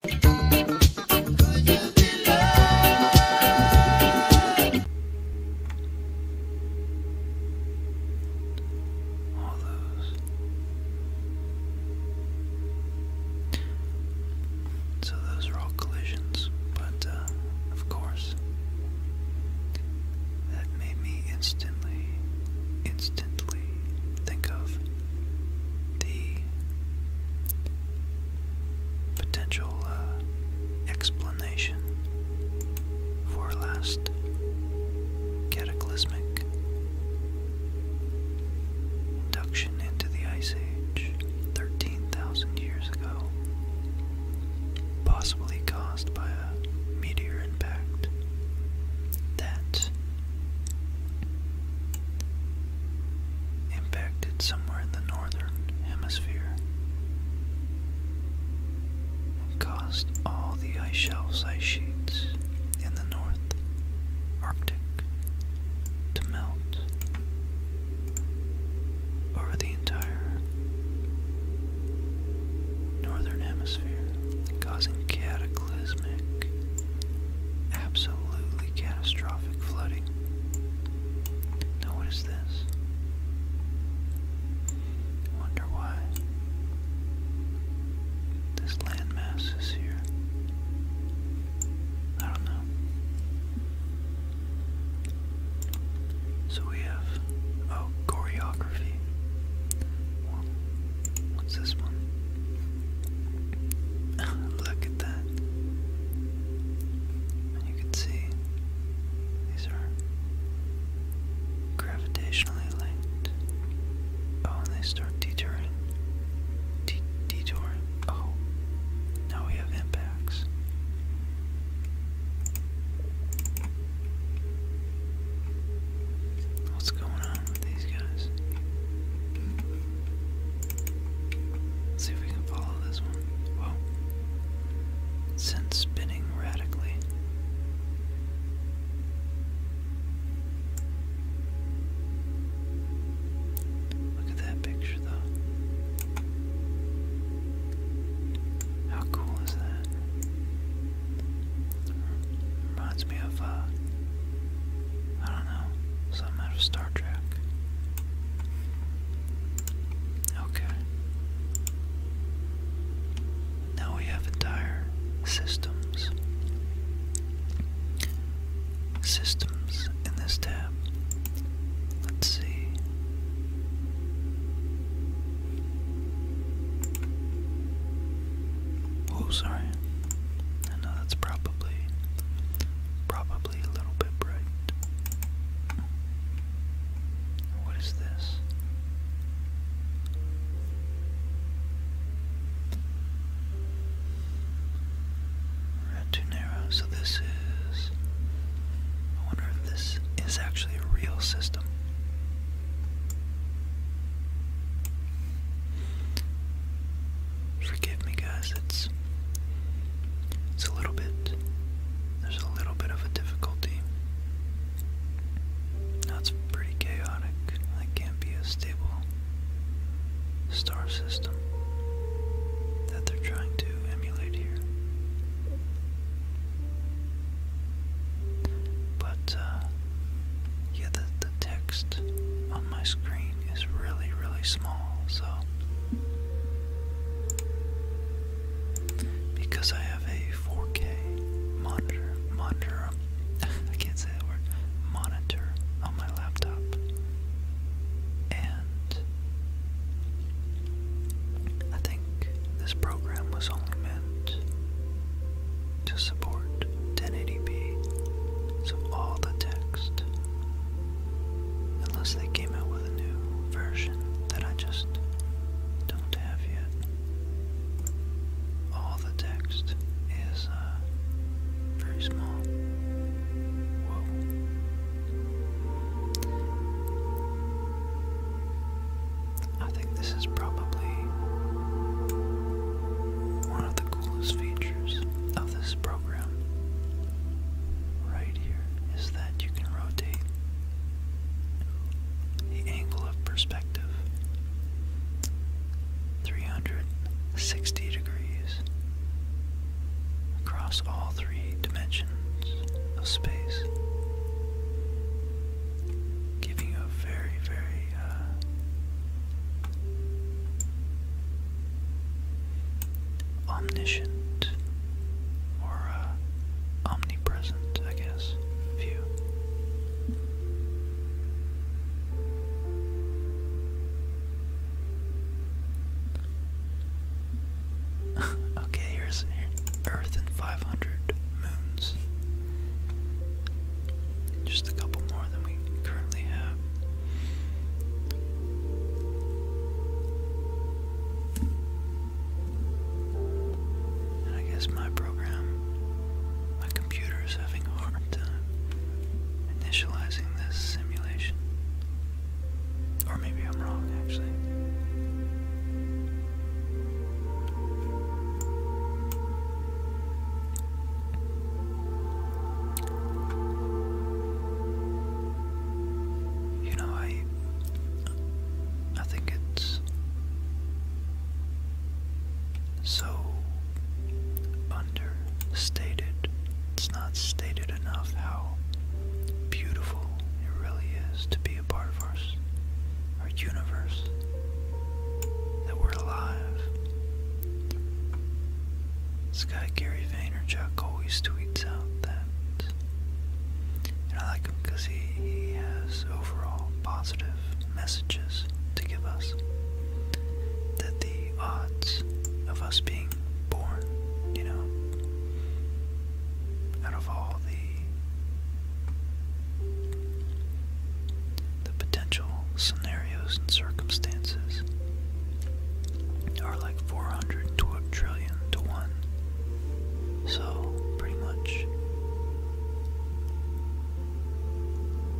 All those. So those are all collisions, but uh, of course, that made me instantly, instantly think of the potential uh, explanation for last cataclysmic induction into the Ice Age 13,000 years ago, possibly caused by a meteor impact that impacted somewhere in the northern hemisphere caused all the ice shelves, ice sheets in the north Arctic to melt over the entire northern hemisphere, causing cataclysmic cataclysmic, absolutely catastrophic flooding. Now, what is this? wonder why this landmass is here. I don't know. So we have, oh, choreography. What's this one? Look at that. you can see these are gravitationally linked. Oh, they start detouring. detouring. Oh, now we have impacts. What's going on? with these guys. see if we can follow this one. Whoa. Since spinning radically. Look at that picture, though. How cool is that? Reminds me of uh, I don't know, something out of Star Trek. Okay. Now we have entire systems. Systems in this tab. Let's see. Oh, sorry. I know that's probably probably a little bit bright. What is this? Not So this is. I wonder if this is actually a real system. Forgive me, guys. It's it's a little bit. There's a little bit of a difficulty. That's pretty chaotic. That can't be a stable star system that they're trying to emulate here. But uh, yeah, the the text on my screen is really, really small, so because I have a 4K monitor, monitor, I can't say that word, monitor on my laptop, and I think this program was only meant to support 1080p, so all the text, unless they came out with a new version that I just don't have yet, all the text is uh, very small. Whoa. I think this is probably one of the coolest features of this program. Right here is that you can rotate the angle of perspective 360 degrees across all three dimensions of space giving a very, very uh, omniscient or uh, omnipresent, I guess, view. okay, here's Earth and 500 moons. Just a couple more than we currently have. And I guess my program, my computer is having a hard time initializing this simulation. Or maybe I'm wrong, actually. You know, I I think it's so understated. It's not stated enough how beautiful it really is to be be a part of our, our universe, that we're alive. This guy Gary Vaynerchuk always tweets out that, and I like him because he, he has overall positive messages to give us. That the odds of us being born, you know, out of all the the potential scenarios and circumstances are like 400 to one. So, pretty much,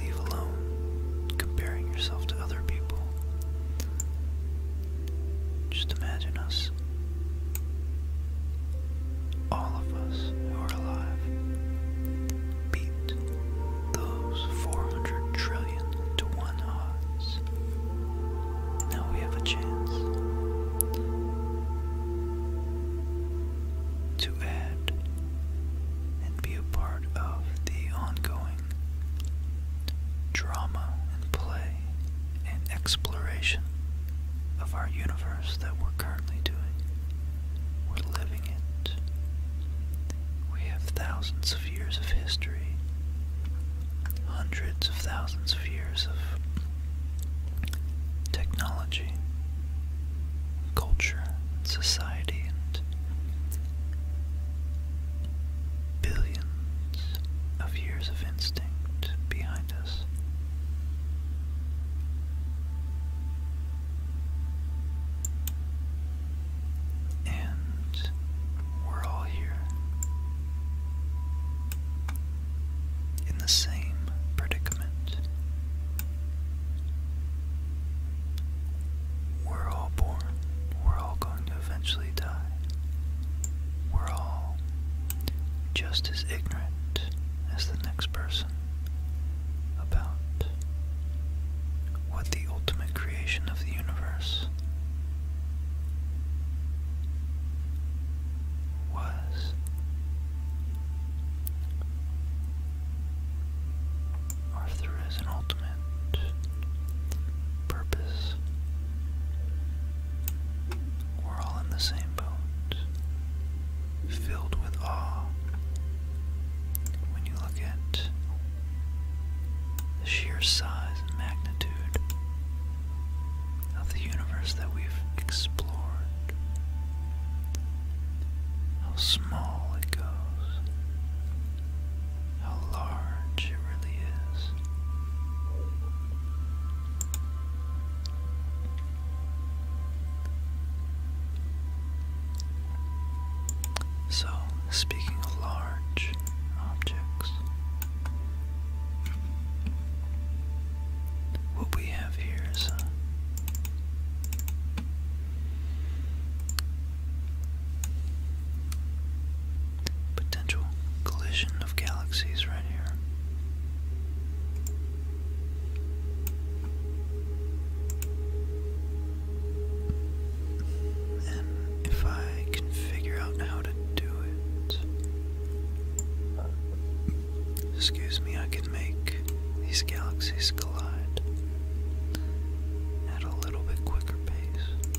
leave alone comparing yourself to other people. Just imagine us all of us who are alive beat those 400 trillion to one odds. Now we have a chance to add and be a part of the ongoing drama and play and exploration of our universe that we're currently doing. We're living it. We have thousands of years of history, hundreds of thousands of years of technology, culture, society, and billions of years of instinct behind us. And we're all here in the same predicament. We're all born. We're all going to eventually die. We're all just as ignorant as the next person about what the ultimate creation of the universe was. Or if there is an ultimate purpose we're all in the same boat, filled with awe. When you look at the sheer size and magnitude of the universe that we've explored, how small it goes, how large it really is. So, speaking of large objects, what we have here is uh, potential collision of galaxies right here if I can figure out how to do it, excuse me, I can make these galaxies collide at a little bit quicker pace.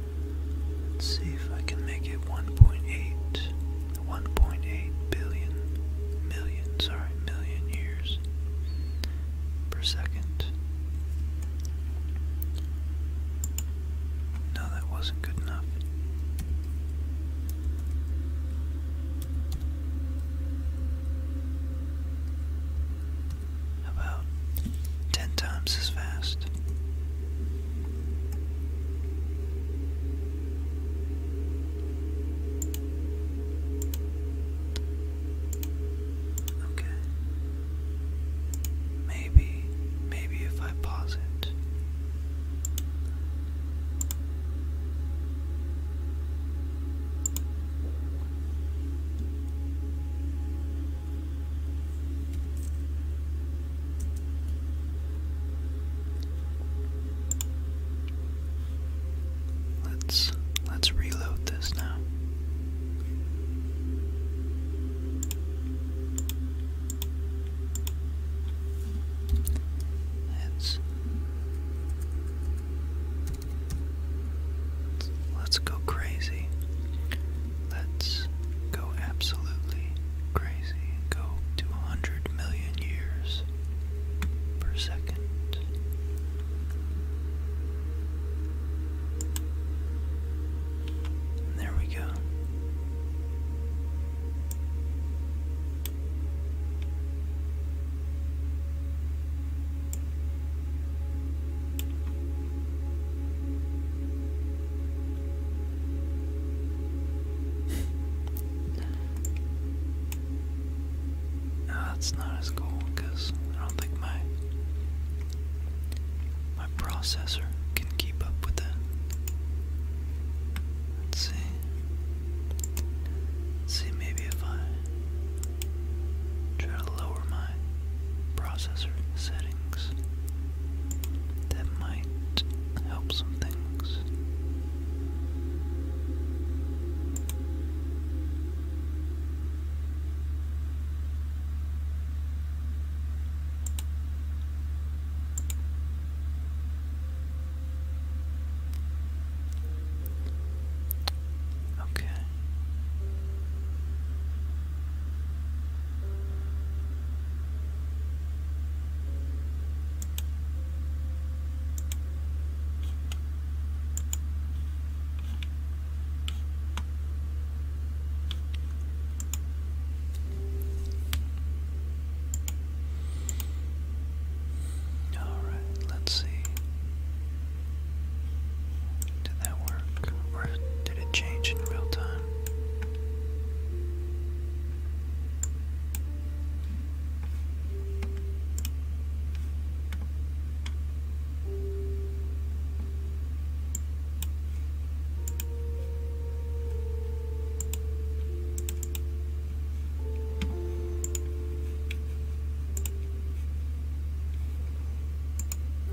Let's see if I can make it 1.8, 1.8 billion, million, sorry, million years per second. No, that wasn't good enough. About 10 times as fast. Okay. Maybe, maybe if I pause it. Let's let's reload this now. Let's let's go crazy. Let's go absolutely crazy and go to 100 million years per second. there we go that's not as cool because I don't think my my processor can keep up with that. Let's see. see maybe if I try to lower my processor settings. That might help some things. Okay. All right, let's see. Did that work? Or did it change in real time?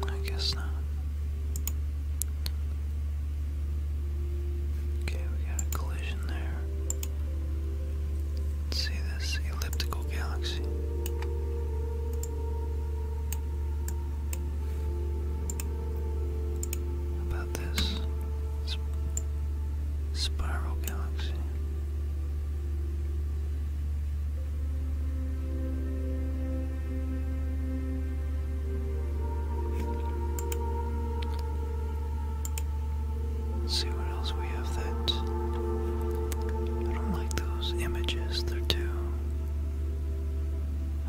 I guess not. Okay, we got a collision there. see this elliptical galaxy. about this spiral galaxy see what else we have that I don't like those images, they're too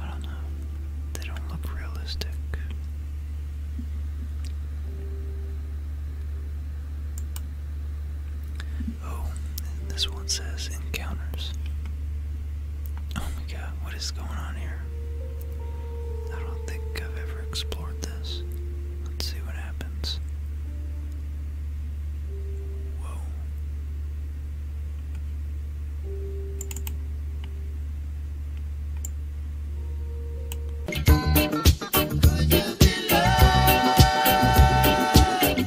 I don't know. They don't look realistic. Oh, this one says encounters. Oh my god, what is going on here? I don't think I've ever explored this. Let's see what happens. Whoa.